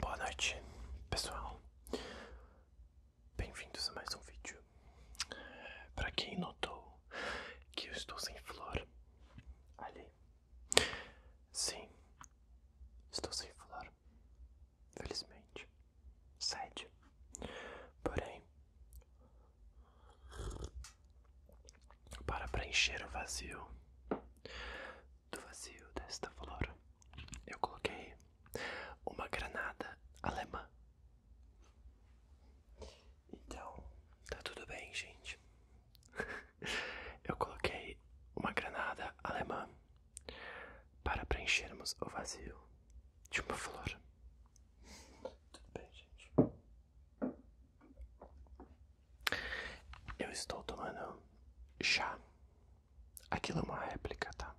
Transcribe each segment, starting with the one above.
Boa noite, pessoal. Bem-vindos a mais um vídeo. Para quem notou que eu estou sem flor, ali. Sim, estou sem flor. Felizmente. Sede. Porém, para preencher o vazio, do vazio desta flor, eu coloquei uma granada alemã. Então, tá tudo bem, gente. eu coloquei uma granada alemã para preenchermos o vazio de uma flor. Tudo bem, gente. Eu estou tomando chá. Aquilo é uma réplica, tá?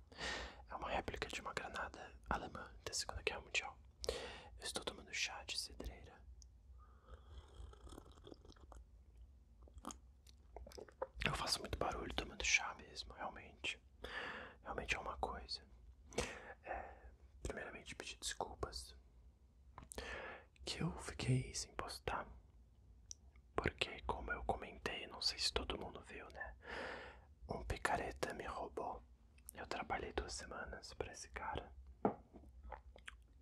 É uma réplica de uma granada alemã da Segunda Guerra Mundial. Eu estou tomando chá de cedreira. Eu faço muito barulho tomando chá mesmo, realmente. Realmente é uma coisa. É, primeiramente, pedir desculpas que eu fiquei sem postar. Porque, como eu comentei, não sei se todo mundo viu, né? Um picareta me roubou. Eu trabalhei duas semanas para esse cara.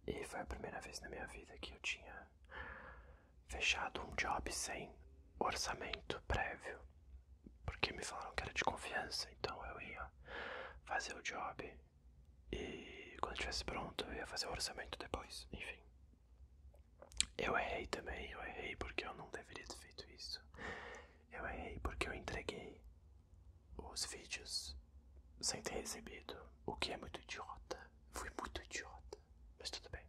E foi a primeira vez na minha vida que eu tinha fechado um job sem orçamento prévio. Porque me falaram que era de confiança, então eu ia fazer o job e quando estivesse pronto, eu ia fazer o orçamento depois. Enfim. Eu errei também, eu errei porque eu não deveria ter feito isso. Eu errei porque eu entreguei os vídeos sem ter recebido, o que é muito idiota. Fui muito idiota, mas tudo bem.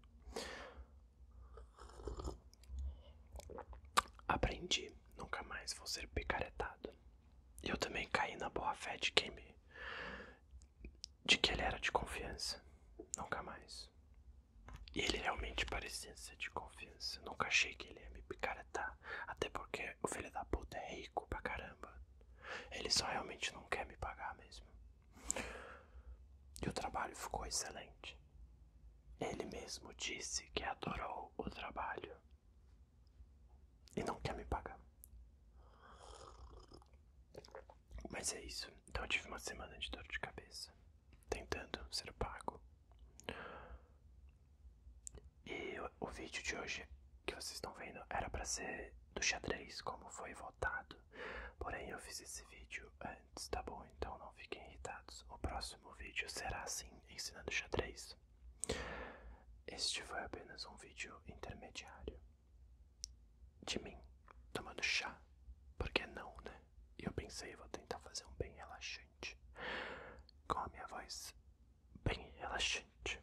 Aprendi, nunca mais vou ser picaretado. Eu também caí na boa fé de quem me de que ele era de confiança. Nunca mais. E ele realmente parecia ser de confiança. Nunca achei que ele ia me picaretar. Até porque o filho da puta é rico pra caramba. Ele só realmente não quer me pagar mesmo. E o trabalho ficou excelente. Ele mesmo disse que adorou o trabalho e não quer me pagar. Mas é isso. Então eu tive uma semana de dor de cabeça, tentando ser pago. E o, vídeo de hoje que vocês estão vendo era para ser do xadrez, como foi votado. Porém, eu fiz esse vídeo antes, tá bom? Então não fiquem irritados. O próximo vídeo será assim, ensinando xadrez. Este foi apenas um vídeo intermediário de mim tomando chá, porque não, né? E eu pensei, vou tentar fazer um bem relaxante com a minha voz bem relaxante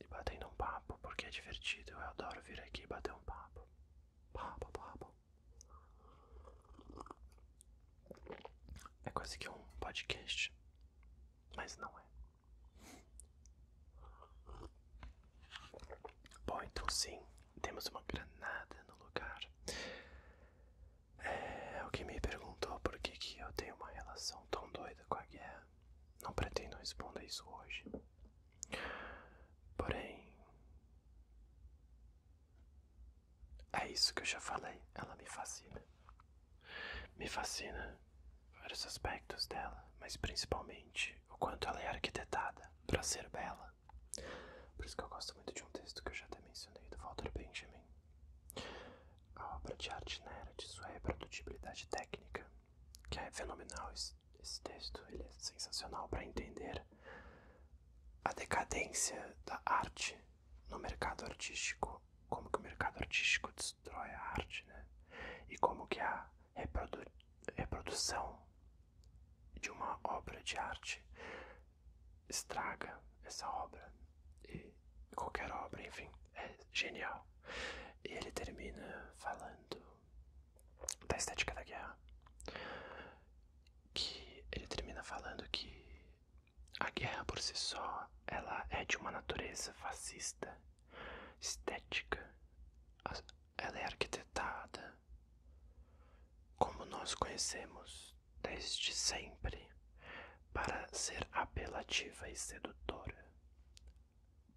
e batendo um papo, porque é divertido. Eu adoro vir aqui e bater um papo. Papo, papo. É quase que um podcast, mas não é. Bom, então sim, temos uma granada no lugar. É, que me perguntou por que, que eu tenho uma relação tão doida com a guerra. Não pretendo responder isso hoje. Porém, é isso que eu já falei, ela me fascina. Me fascina vários aspectos dela, mas principalmente o quanto ela é arquitetada para ser bela. Por isso que eu gosto muito de um texto que eu já até mencionei do Walter Benjamin. A obra de arte na era de sua reprodutibilidade técnica, que é fenomenal esse, esse texto, ele é sensacional para entender a decadência da arte no mercado artístico, como que o mercado artístico destrói a arte, né? E como que a reprodução de uma obra de arte estraga essa obra e qualquer obra, enfim, é genial. E ele termina falando da estética da guerra, que ele termina falando que a guerra por si só, ela é de uma natureza fascista estética, ela é arquitetada como nós conhecemos desde sempre para ser apelativa e sedutora.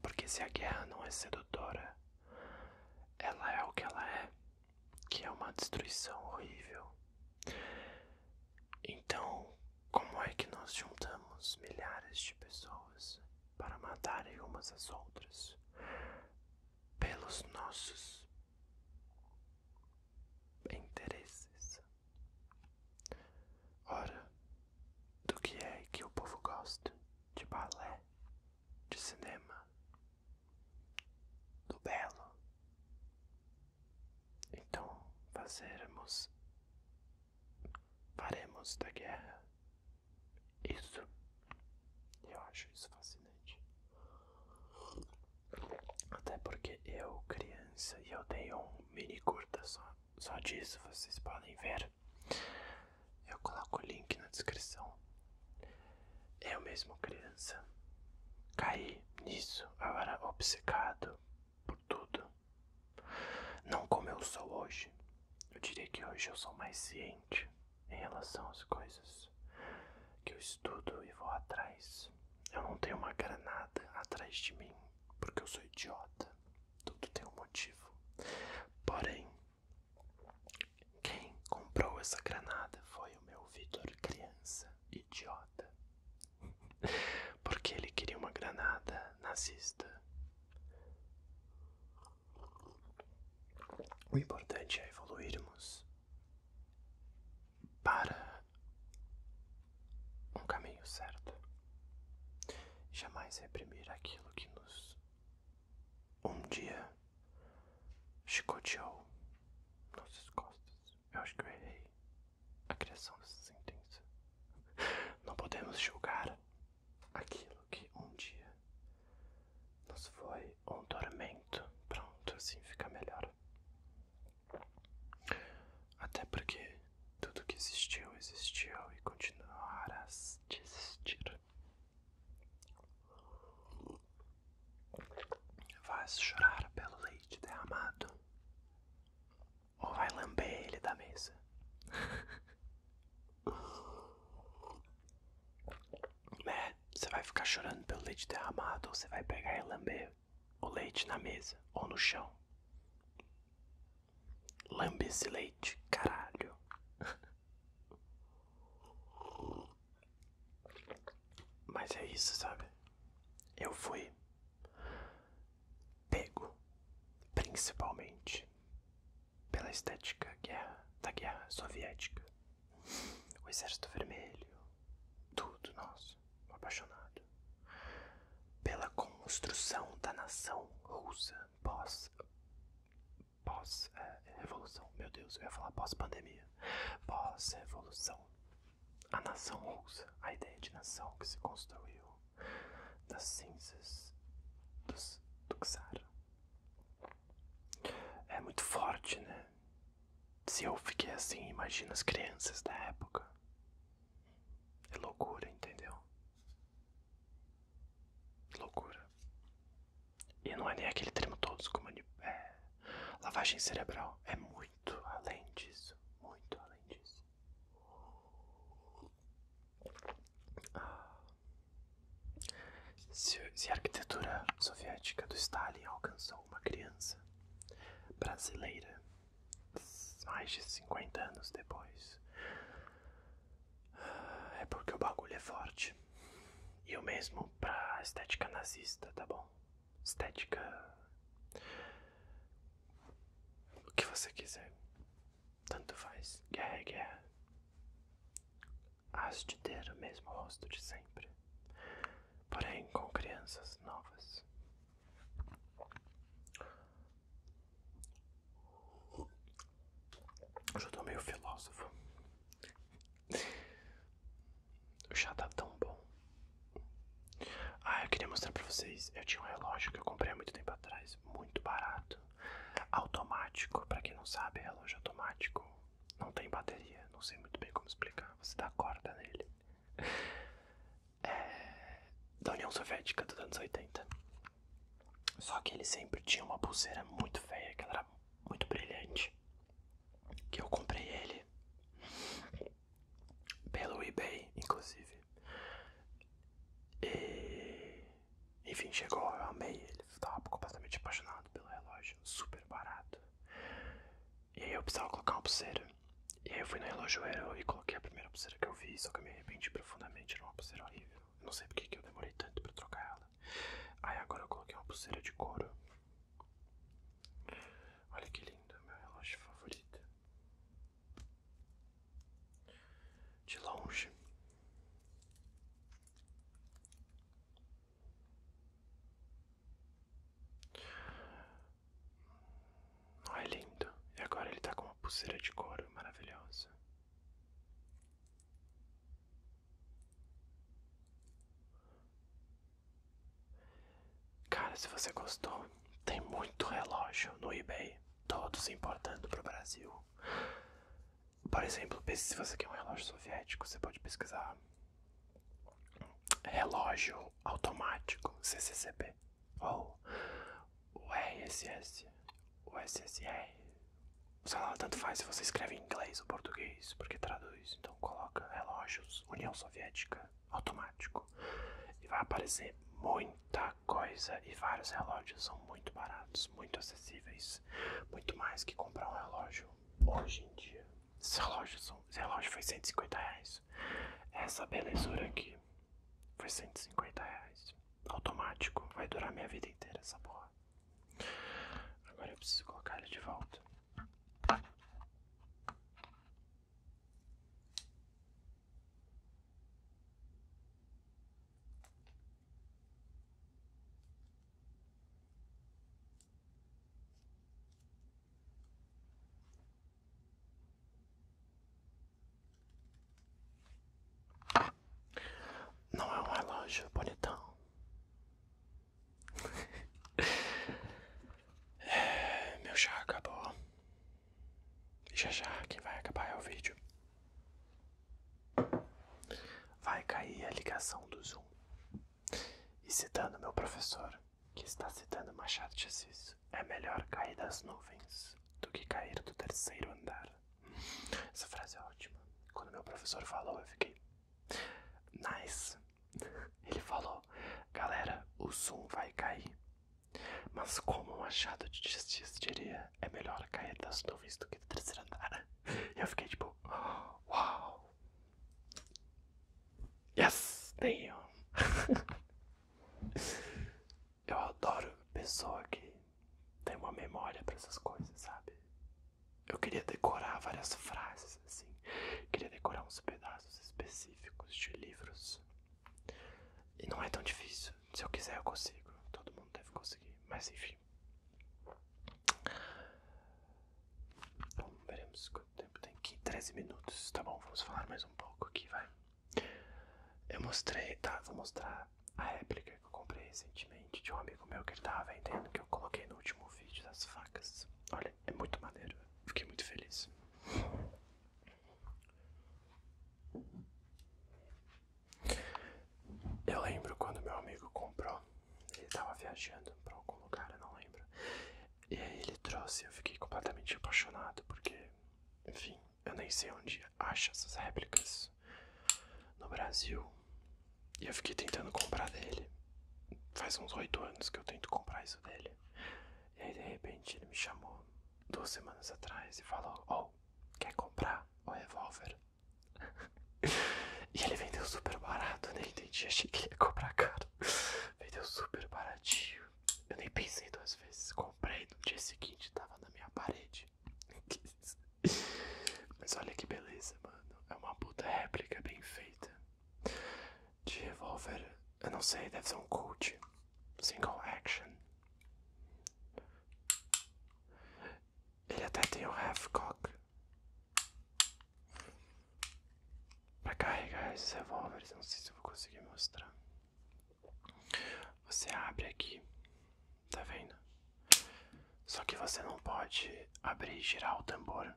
Porque se a guerra não é sedutora, ela é o que ela é, que é uma destruição horrível. Então, como é que nós juntamos milhares de pessoas para matarem umas as outras pelos nossos interesses? Ora, do que é que o povo gosta? De balé, de cinema, do belo. Então, fazermos faremos da guerra isso. Eu acho isso fascinante. Até porque eu, criança, e eu dei um mini curta só, só disso, vocês podem ver. Eu coloco o link na descrição. Eu mesmo, criança, caí nisso, agora obcecado por tudo. Não como eu sou hoje. Eu diria que hoje eu sou mais ciente em relação às coisas que eu estudo e vou atrás. Eu não tenho uma granada atrás de mim porque eu sou idiota. Tudo tem um motivo. Porém, quem comprou essa granada foi o meu Vitor criança idiota. Porque ele queria uma granada nazista. O importante é evoluirmos para um caminho certo. Jamais reprimir aquilo que nos um dia chicoteou nossas costas. Eu acho que eu errei a criação dessa sentença. Não podemos julgar aquilo que um dia nos foi um tormento. Pronto, assim fica melhor. Até porque tudo que existiu, existiu e continuará a existir. Vais chorar pelo leite derramado ou vai lamber ele da mesa. né? Você vai ficar chorando pelo leite derramado ou você vai pegar e lamber o leite na mesa ou no chão. Lambe esse leite, caralho. Mas é isso, sabe? Eu fui pego principalmente pela estética da guerra soviética. O Exército Vermelho, tudo nosso, apaixonado. Pela construção da nação russa pós. pós-revolução. É, Meu Deus, eu ia falar pós-pandemia. Pós-revolução. A nação russa, a ideia de nação que se construiu das cinzas dos, do Xar. É muito forte, né? Se eu fiquei assim, imagina as crianças da época. É loucura, entendeu? Loucura. E não é nem aquele termo todos como é, lavagem cerebral. É muito além disso. Muito além disso. Se, a arquitetura soviética do Stalin alcançou uma criança brasileira mais de 50 anos depois, é porque o bagulho é forte. E o mesmo para a estética nazista, tá bom? Estética o que você quiser. Tanto faz. Guerra é guerra. Hás de ter o mesmo rosto de sempre. Porém, com crianças novas. eu tô meio filósofo. O chá tá tão bom. Ah, eu queria mostrar pra vocês. Eu tinha um relógio que eu comprei há muito tempo atrás, muito barato. Automático, pra quem não sabe, é relógio automático. Não tem bateria, não sei muito bem como explicar. Você dá corda nele. É, da União Soviética dos anos 80. Só que ele sempre tinha uma pulseira muito feia, que ela era muito brilhante. Que eu comprei ele pelo eBay, inclusive. E enfim, chegou, eu amei ele, estava completamente apaixonado pelo relógio, super barato. E aí eu precisava colocar uma pulseira. E aí eu fui no relojoeiro e coloquei a primeira pulseira que eu vi, só que eu me arrependi profundamente, era uma pulseira horrível. não sei porque que eu demorei tanto pra trocar ela. Aí agora eu coloquei uma pulseira de couro. Olha que lindo, meu relógio favorito de longe. Não é lindo. E agora ele está com uma pulseira de couro maravilhosa. Cara, se você gostou, tem muito relógio no eBay, todos importando para o Brasil. Por exemplo, se você quer um relógio soviético, você pode pesquisar relógio automático CCCP ou o RSS, o SSR. lá, tanto faz se você escreve em inglês ou português, porque traduz. Então coloca relógios União Soviética automático. E vai aparecer muita coisa e vários relógios são muito baratos, muito acessíveis, muito mais que comprar um relógio hoje em dia. Esse relógio, são, esse relógio foi 150 reais. Essa belezura aqui foi 150 reais. Automático, vai durar minha vida inteira essa porra. Agora eu preciso colocar ele de volta. Não é um relógio bonitão. é, meu já acabou já já que vai acabar é o vídeo. Vai cair a ligação do Zoom. E citando meu professor, que está citando Machado de Assis, é melhor cair das nuvens do que cair do terceiro andar. Essa frase é ótima. Quando meu professor falou, eu fiquei. Nice! Ele falou: Galera, o Zoom vai cair. Mas como um achado de justiça diria, é melhor cair das nuvens do que do terceiro andar. E eu fiquei tipo, uau! wow. Yes, tenho! eu adoro pessoa que tem uma memória para essas coisas, sabe? Eu queria decorar várias frases, assim. Queria decorar uns pedaços específicos de livros. E não é tão difícil. Se eu quiser, eu consigo. Todo mundo deve conseguir. Mas enfim. veremos quanto tempo tem aqui. 13 minutos. Tá bom, vamos falar mais um pouco aqui, vai. Eu mostrei, tá? Vou mostrar a réplica que eu comprei recentemente de um amigo meu que ele tava vendendo, que eu coloquei no último vídeo das facas. Olha, é muito maneiro. Fiquei muito feliz. Eu lembro quando meu amigo comprou, ele tava viajando pra algum lugar, eu não lembro. E aí ele trouxe, eu fiquei completamente apaixonado, porque, enfim, eu nem sei onde acha essas réplicas no Brasil. E eu fiquei tentando comprar dele. Faz uns oito anos que eu tento comprar isso dele. E aí de repente ele me chamou duas semanas atrás e falou: Oh, quer comprar o revólver? e ele vendeu super barato, eu nem né? entendi, achei que ia comprar caro. vendeu super baratinho. Eu nem pensei duas vezes, comprei no dia seguinte, tava na minha parede. Mas olha que beleza, mano. É uma puta réplica bem feita de revólver, eu não sei, deve ser um Colt Single Action. Ele até tem um half cock para carregar esses revólveres, não sei se eu vou conseguir mostrar. Você abre aqui, tá vendo? Só que você não pode abrir e girar o tambor.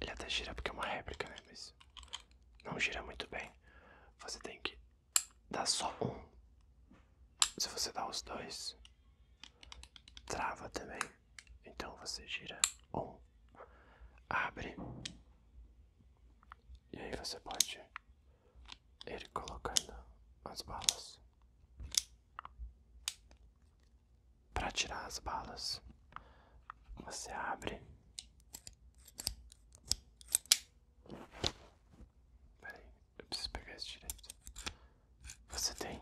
Ele até gira porque é uma réplica, né? Mas não gira muito bem. Você tem que dar só um. Se você dar os dois, trava também. Então você gira um, abre. E aí você pode ir colocando as balas. Para tirar as balas, você abre Peraí, eu preciso pegar esse direito. Você tem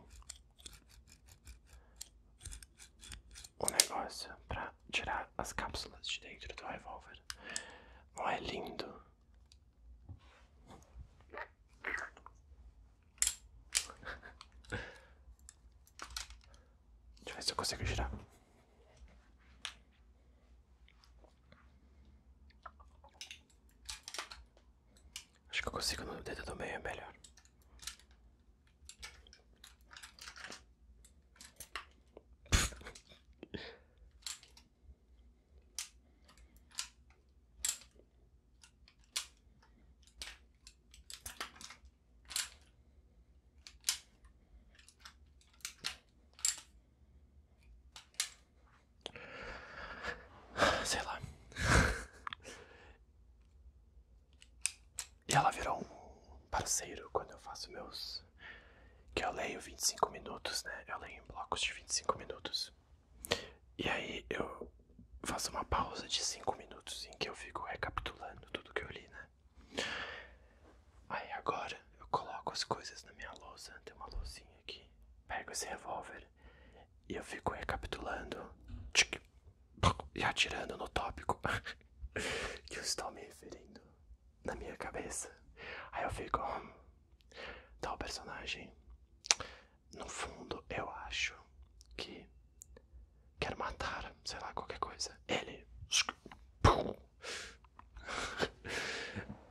um negócio pra tirar as cápsulas de dentro do revólver. Não é lindo? Deixa eu ver se eu consigo girar. Acho que eu consigo no dedo do meio, é melhor. Sei lá. e ela virou um parceiro quando eu faço meus. Que eu leio 25 minutos, né? Eu leio em blocos de 25 minutos. E aí eu faço uma pausa de 5 minutos em que eu fico recapitulando tudo que eu li, né? Aí agora eu coloco as coisas na minha lousa, tem uma lousinha aqui. Pego esse revólver e eu fico recapitulando tchic, toc, e atirando no tópico que eu estou me referindo na minha cabeça. Aí eu fico. Hum, tal personagem. No fundo, eu acho que quer matar, sei lá, qualquer coisa. Ele.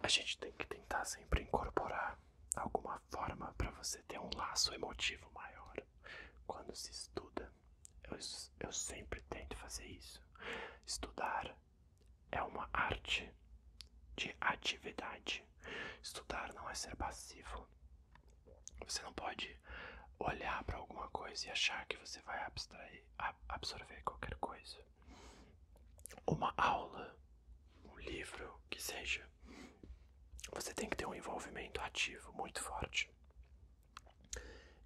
A gente tem que tentar sempre incorporar alguma forma para você ter um laço emotivo maior. Quando se estuda, eu, sempre tento fazer isso. Estudar é uma arte de atividade. Estudar não é ser passivo. Você não pode olhar para alguma coisa e achar que você vai absorver qualquer coisa. Uma aula, um livro, que seja. Você tem que ter um envolvimento ativo muito forte.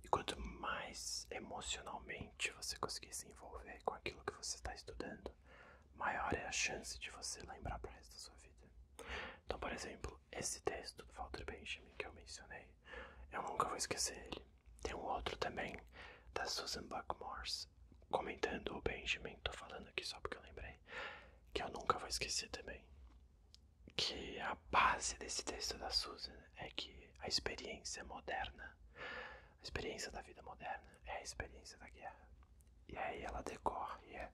E quanto mais emocionalmente você conseguir se envolver com aquilo que você está estudando, maior é a chance de você lembrar para resto da sua vida. Então, por exemplo, esse texto do Walter Benjamin que eu mencionei, eu nunca vou esquecer ele. Tem um outro também, da Susan Buck comentando o Benjamin, tô falando aqui só porque eu lembrei, que eu nunca vou esquecer também. Que a base desse texto da Susan é que a experiência moderna, a experiência da vida moderna, é a experiência da guerra. E aí ela decorre, e é,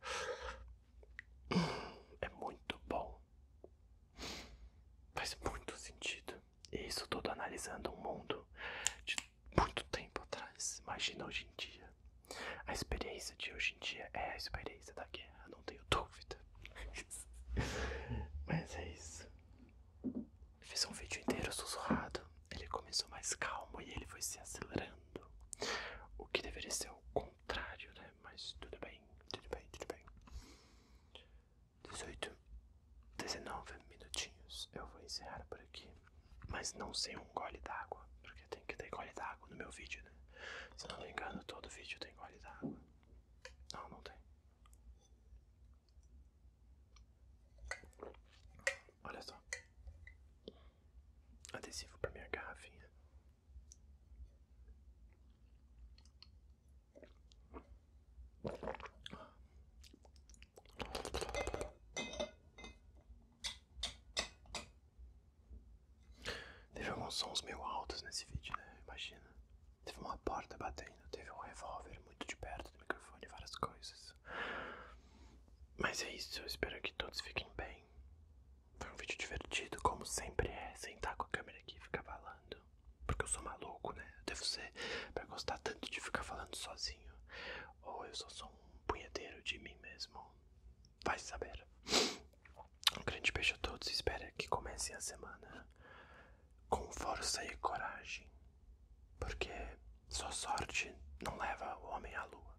é muito bom Faz muito sentido. E isso todo analisando um mundo de muito tempo atrás. Imagina hoje em dia. A experiência de hoje em dia é a experiência da guerra, não tenho dúvida. Mas é isso. Fiz um vídeo inteiro sussurrado. Ele começou mais calmo e ele foi se acelerando. O que deveria ser o contrário, né? Mas tudo bem tudo bem, tudo bem. 18, 19 minutinhos. Eu vou encerrar por aqui. Mas não sem um gole d'água. Porque tem que ter gole d'água no meu vídeo, né? Se não me engano, todo vídeo tem gole d'água. Não, não tem. Olha só. Adesivo pra minha garrafinha. Teve alguns sons meio altos nesse vídeo, né? Imagina. Teve uma porta batendo, teve um revólver muito de perto do microfone, várias coisas. Mas é isso, eu espero que todos fiquem bem. Foi um vídeo divertido, como sempre é, sentar com a câmera aqui e ficar falando. Porque eu sou maluco, né? devo ser pra gostar tanto de ficar falando sozinho. Ou eu só sou um punheteiro de mim mesmo. Vai saber. Um grande beijo a todos e espero que comecem a semana com força e coragem. Porque só sorte não leva o homem à lua.